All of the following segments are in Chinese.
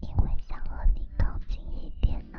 因为想和你靠近一点呢，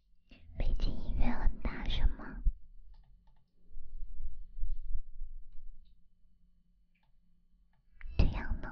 背景音乐很大声吗？这样呢？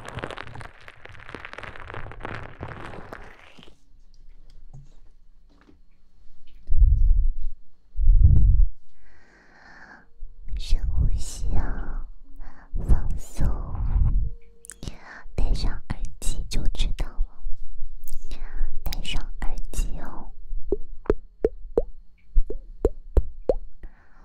深呼吸哦，放松，戴上耳机就知道了。戴上耳机哦。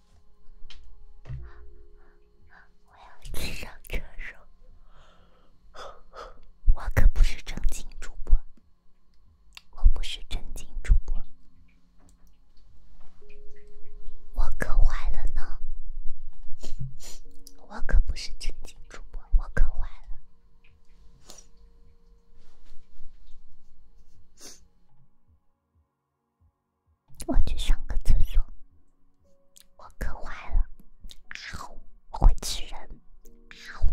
我要上厕所，我可不是正经主播，我不是正经主播，我可坏了呢，我可不是正经主播，我可坏了。我去上个厕所，我渴坏了，啊会吃人，啊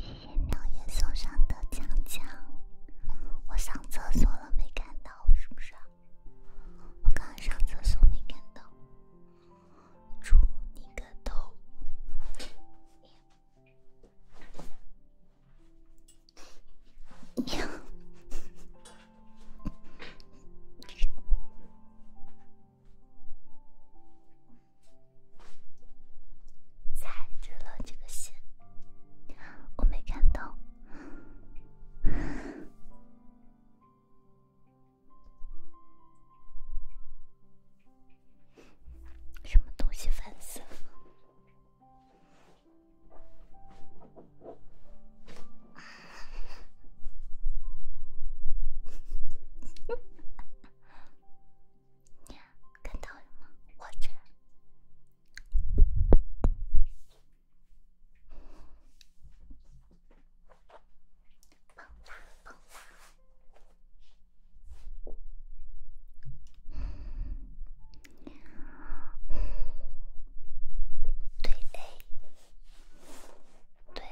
谢谢牛送上的奖奖，我上厕所了没看到，是不是？我刚刚上厕所没看到，猪你个头！呀，踩着了这个线，我没看到。什么东西烦死了！看到了吗？我这。对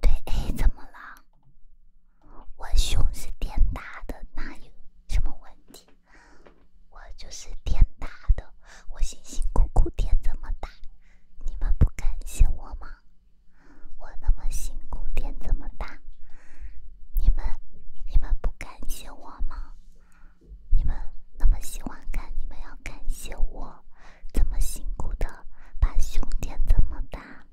对对怎么了？我胸是挺大的，那有什么问题？我就是天大的，我辛辛苦苦天这么大，你们不感谢我吗？我那么辛苦天这么大，你们你们不感谢我吗？你们那么喜欢看，你们要感谢我，这么辛苦的把胸垫这么大。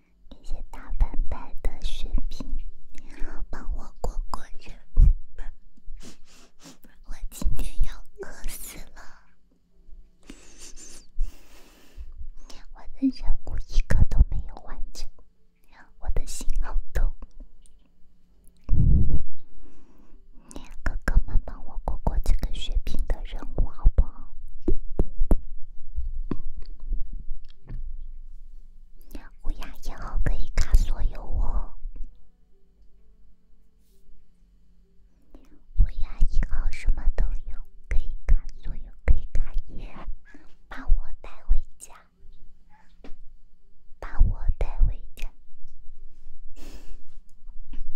那些大粉白的血瓶，帮我过过去。我今天要饿死了，我的任务一个都没有完成，我的心好痛。哥哥们，帮我过过这个血瓶的任务，好不好？乌鸦一号可以卡所有哦，乌鸦一号什么都有，可以卡所有，可以卡你，把我带回家，把我带回家。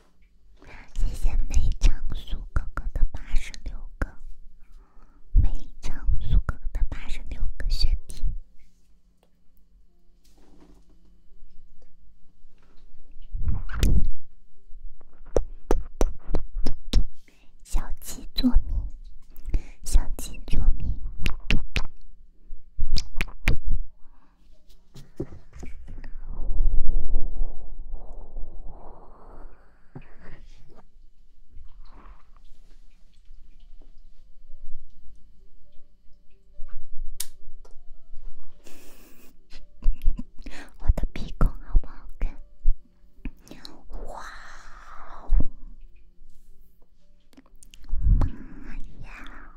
谢谢梅长苏哥哥的八十六个，梅长苏哥哥的八十六个血瓶，小鸡做米，小鸡做米。我的鼻孔好不好看？哇哦！么么呀。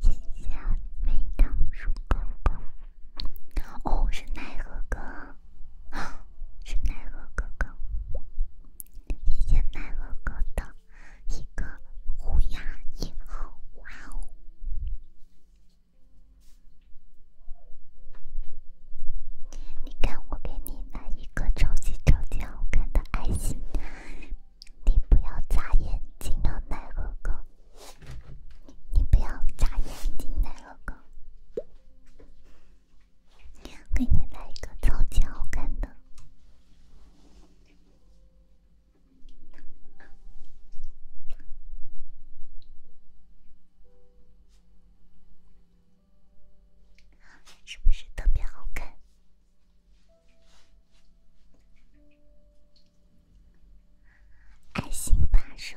谢谢梅长苏哥哥。哦，是奈何哥，是奈何哥哥。谢谢奈何哥的一个虎牙以后，哇哦！你看，我给你来一个超级超级好看的爱心，你不要眨眼睛，奈何哥，你不要眨眼睛，奈何哥，给你来一个超级好看的。是不是特别好看？爱心发射！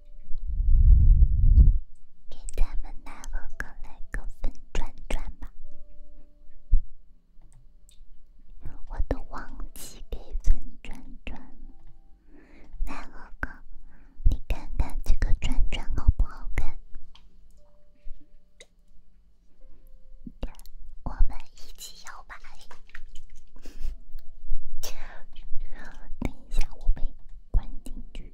给咱们奈何哥来个粉转转吧！我都忘记给粉转转，奈何哥，你看看这个转转好不好看？我们一起摇摆！等一下，我被关进去。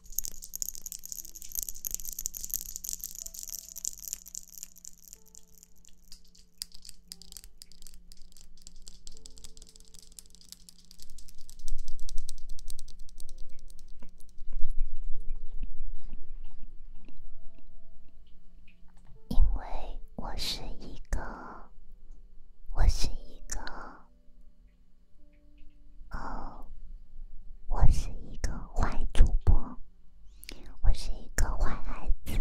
因为我是一个，我是一个。哦，我是一个坏主播，我是一个坏孩子。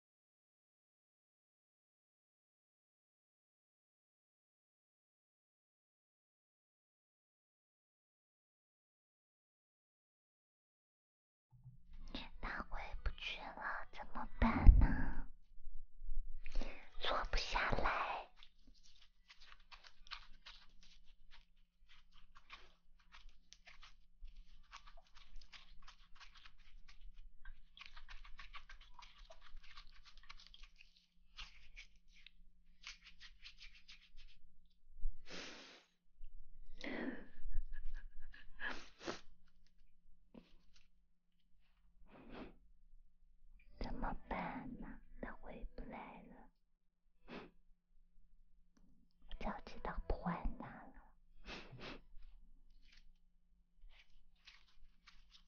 他回不去了，怎么办呢？坐不下来。怎么办呢？他回不来了，我早知道不坏他了。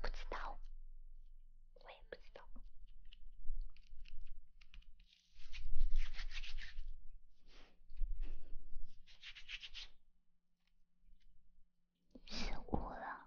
不知道，我也不知道，失误了。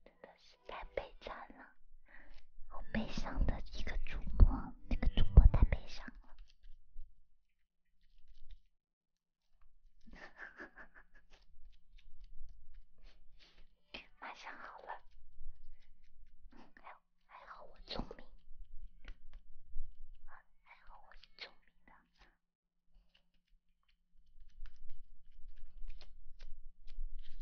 真的是太悲惨了，好悲伤的一个主播，那个主播太悲伤了。马上好了，还还好我聪明，还好我是聪明的。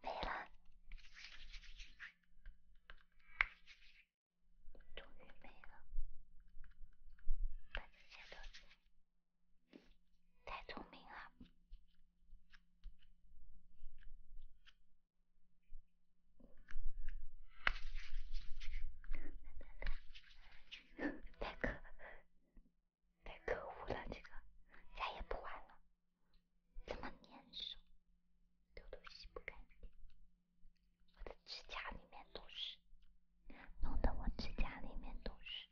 没了，终于没了，把这些都，太聪明了，太可恶了，这个再也不玩了！这么粘手，丢都洗不干净，我的指甲里面都是，弄得我指甲里面都是。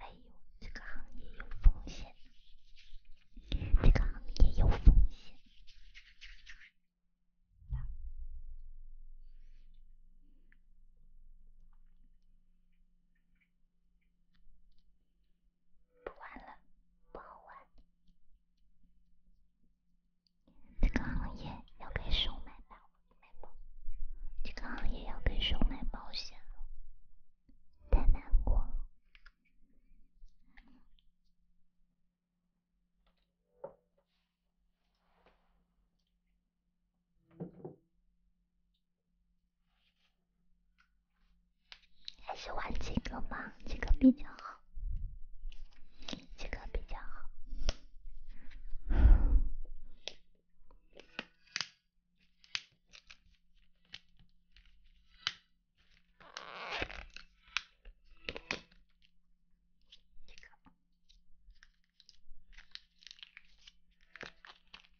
哎呦，这个行业有风险，这个行业有风险。不玩了，不好玩。这个行业要开始收买买这个行业要开始收买保险了，太难过了。还是玩这个吗？这个比较好，这个比较好。这个。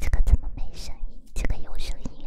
这个怎么没声音？这个有声音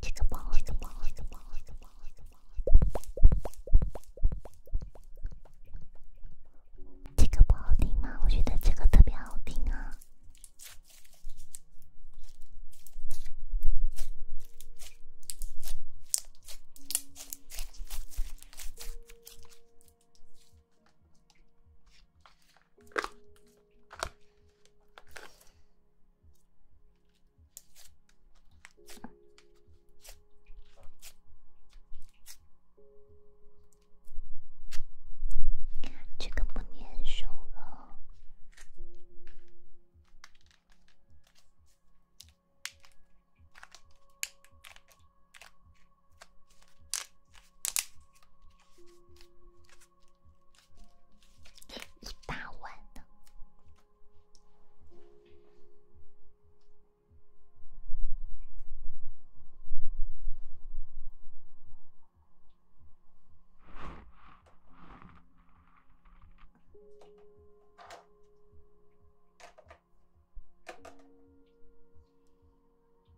这个不好，这个不好，这个不好，这个不好。这个不好听吗？我觉得这个特别好听啊。这个不粘手了。一大碗呢。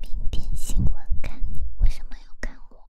明天新闻看你，为什么要看我？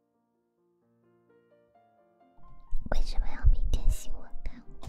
为什么要明天新闻看我？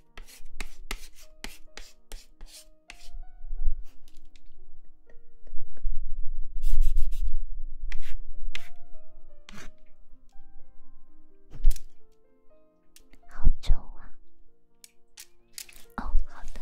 好久啊！哦，好的。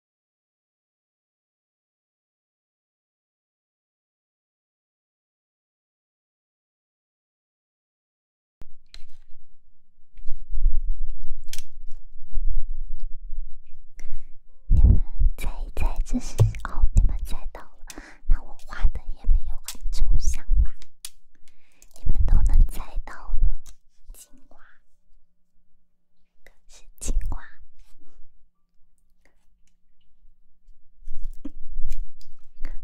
你们猜一猜这是哦？你们猜到了，那我画的也没有很抽象吧？你们都能猜到了，青蛙，可是青蛙。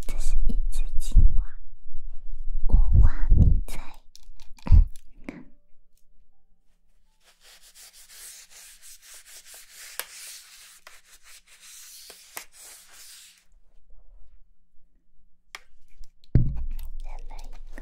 这是一只青蛙，我画你在。再来一个。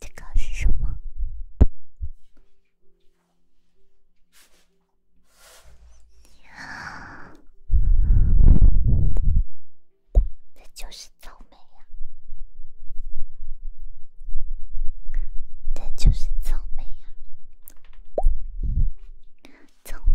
这个是什么？这就是草莓呀，这就是草莓呀，草莓。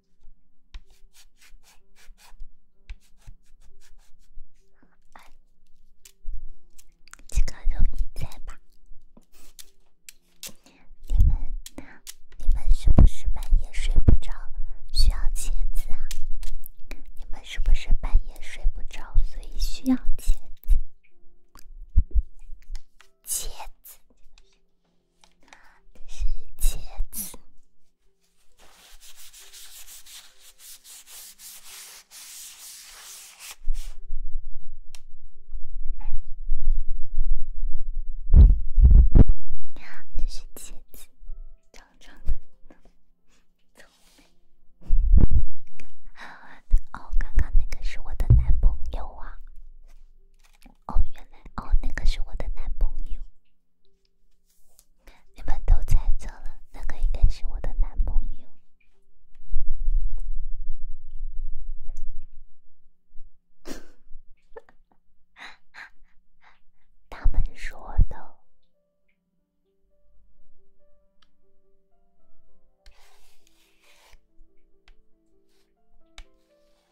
时间都你在吧？你们、你们是不是半夜睡不着，需要茄子？你们是不是半夜睡不着，所以需要茄子？茄子。这是茄子，你指。这是茄子。长长的，哦，刚刚那个是我的男朋友啊！哦，原来哦，那个是我的男朋友。你们都猜错了，那个应该是我的男朋友。他们说的。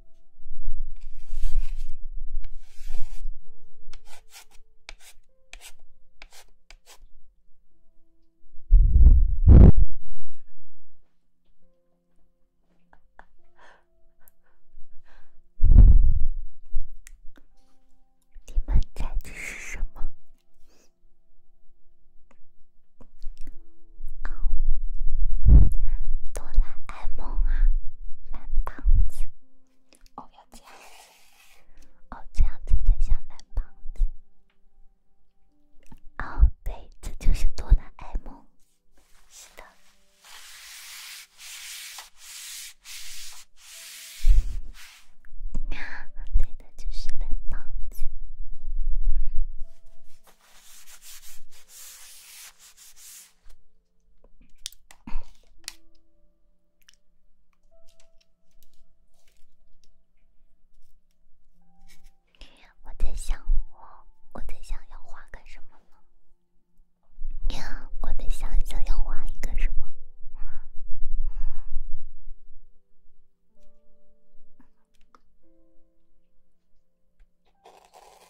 你们猜这是什么？哦，哆啦 A 梦啊，蓝胖子。哦，要这样，哦，这样子才像男胖子。哦，对，这就是哆啦 A 梦。是的，对的，就是男胖子。我在想，我我在想要画个什么了。呀，我在想想要画一个什么。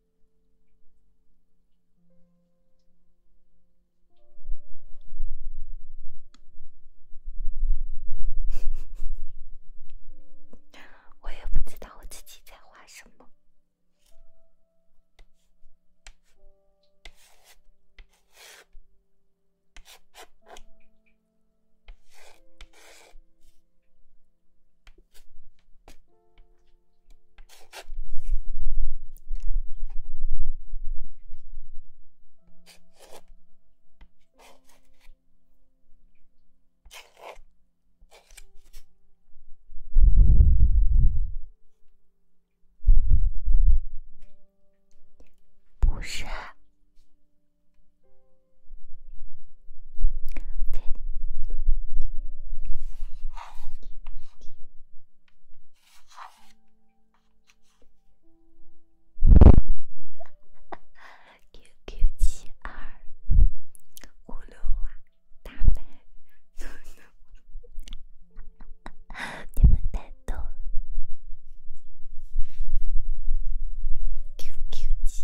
我也不知道我自己在画什么。不是。QQ 七二，葫芦娃，大白，你们太逗了。QQ 七。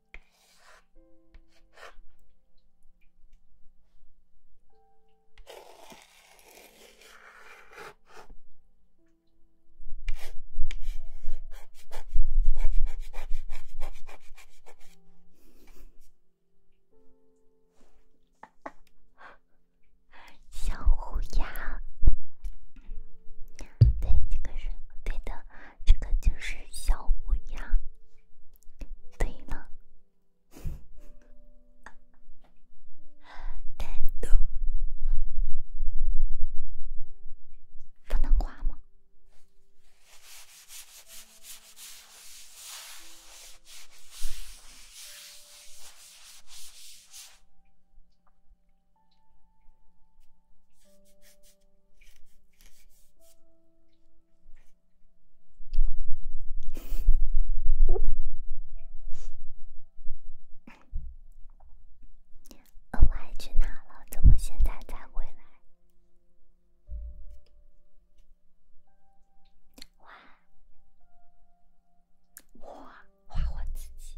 小虎牙，对，这个是对的。这个就是小乌鸦。对了，豆 豆不能画吗？恶坏去哪了？怎么现在才回来？画我，画我自己。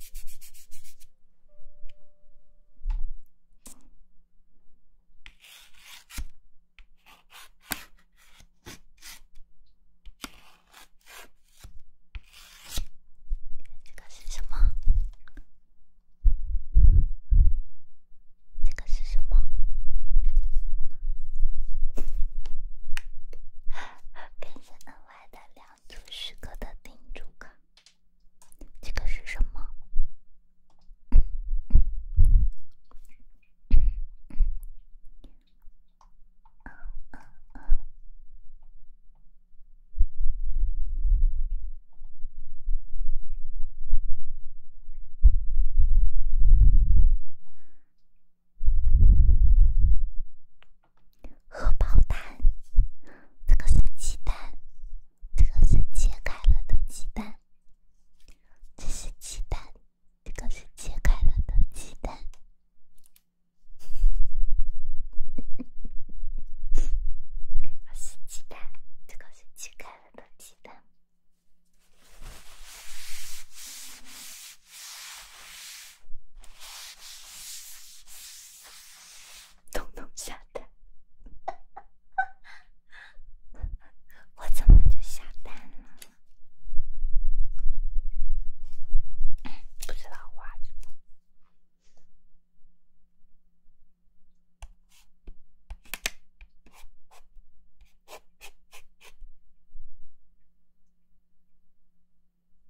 这个是什么？这个是什么？感谢恩外的两。做时刻的叮嘱卡，这个是什么？荷包蛋，这个是鸡蛋，这个是切开了的鸡蛋，这是鸡蛋，这个是切开了的鸡蛋，这 是鸡蛋，这个是切开了的鸡蛋。咚咚下单，我怎么就下单了？不知道画的。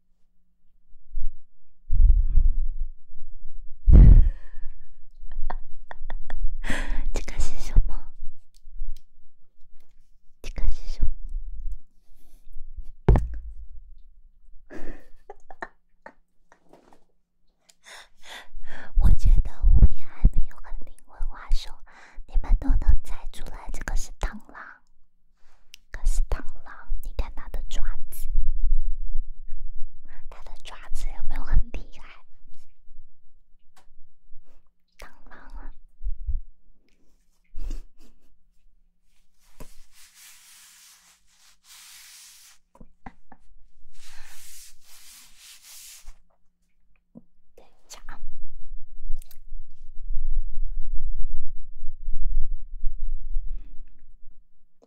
这个是什么？这个是什么？我觉得我也还没有很灵魂化，说你们都能猜出来，这个是螳螂。可是螳螂，你看它的爪子，它的爪子有没有很厉害？螳螂啊！等一下啊！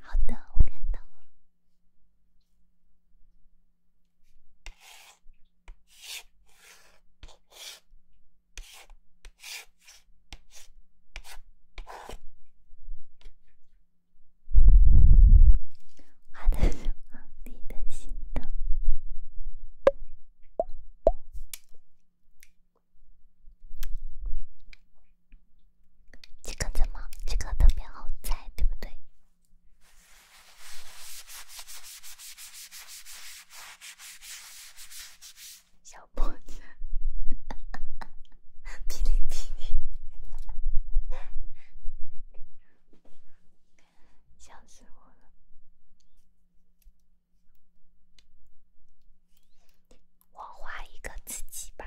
好的，我看到了。画的是梦里的心动，这个怎么？这个特别好猜，对不对？小胖子，哔哩哔哩，笑死我了！我画一个自己吧。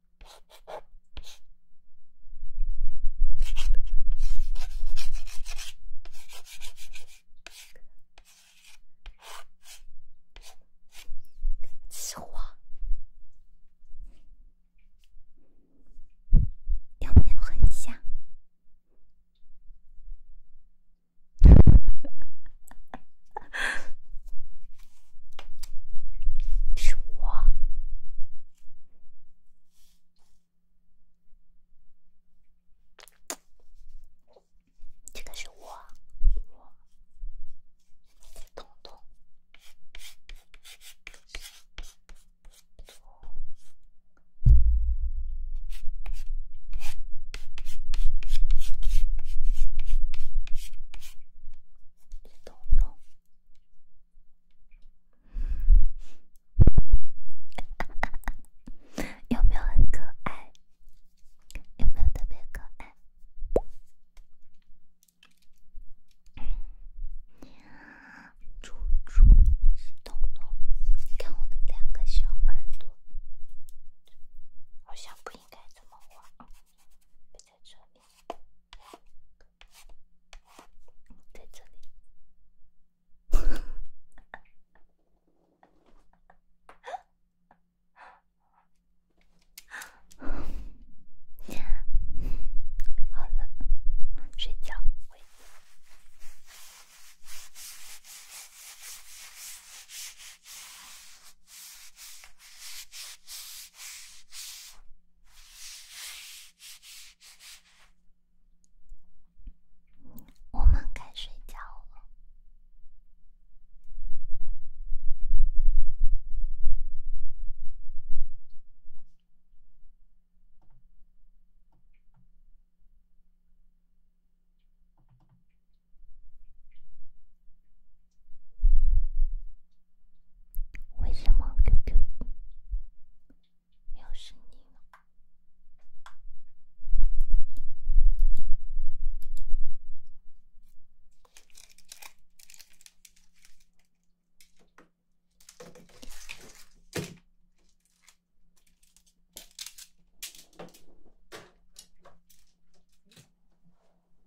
是我，有没有很像？是我。这个是我，彤彤，彤彤。有没有很可爱？有没有特别可爱？猪猪，彤彤，看我的两个小耳朵，好像不应该这么画，放在这里。在这里。好了，睡觉。我们该睡觉了。为什么 Q Q 又是你呢？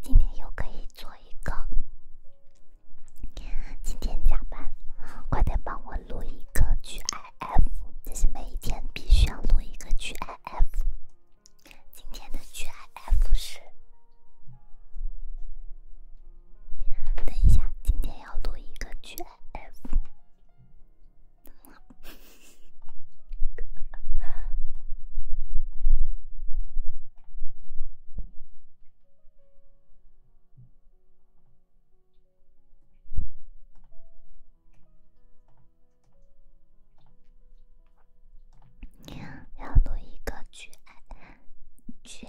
今天又可以做一个，今天加班，快点帮我录一个 GIF，这是每一天必须要录一个 GIF。今天的 GIF 是，等一下，今天要录一个 GIF。两朵一个绝，绝。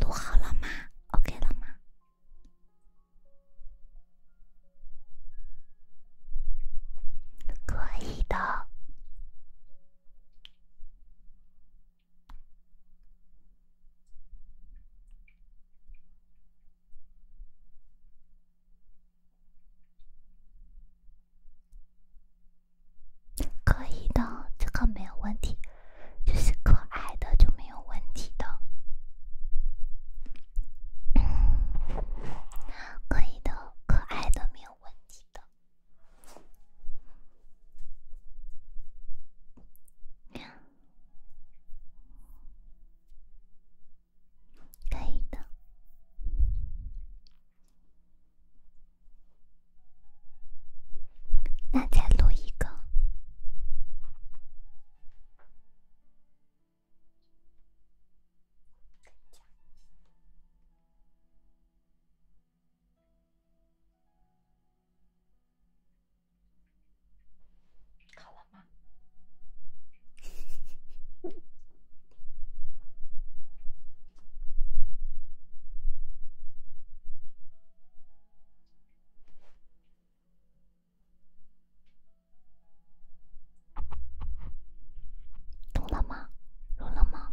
录好了吗？OK 了吗？可以的。可以的，这个没有问题，就是可爱的就没有问题的。可以的，可爱的没有问题的。可以的，那再录一个。好了吗？懂了吗？懂了吗？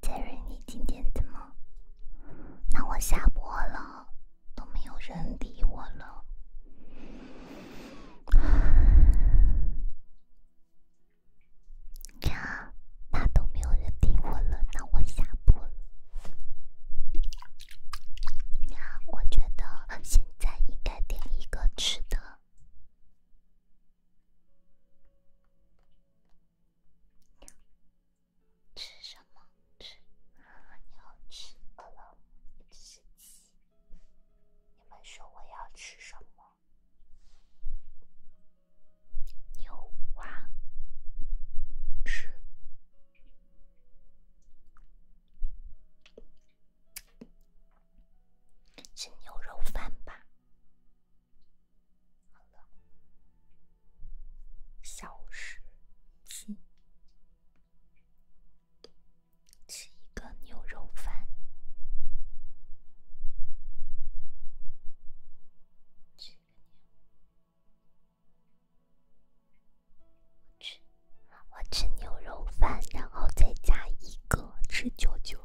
杰瑞，你今天怎么？那我下播了，都没有人理我了。你看，那都没有人理我了，那我下播了。呀，我觉得现在应该点一个吃的。吃什么？吃，要吃，饿了。吃鸡。你们说我要吃什么？牛蛙。吃。吃牛肉饭吧，小事。吃一个牛肉饭。吃吃。我吃牛肉饭，然后再加一个吃啾啾，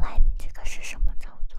喂，你这个是什么操作？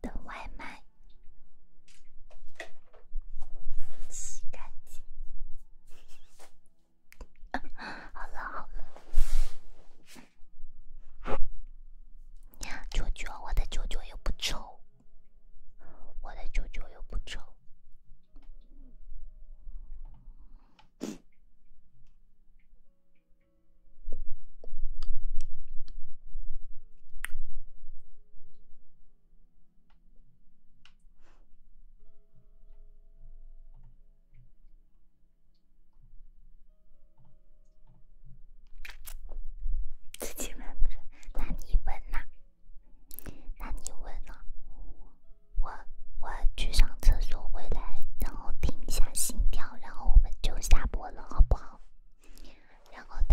等外卖，洗干净。好 了好了，啾啾，我的啾啾又不臭，我的啾啾又不臭。自己问，不着，那你问呢？那你问呢？我我去上厕所回来，然后听一下心跳，然后我们就下播了，好不好？然后。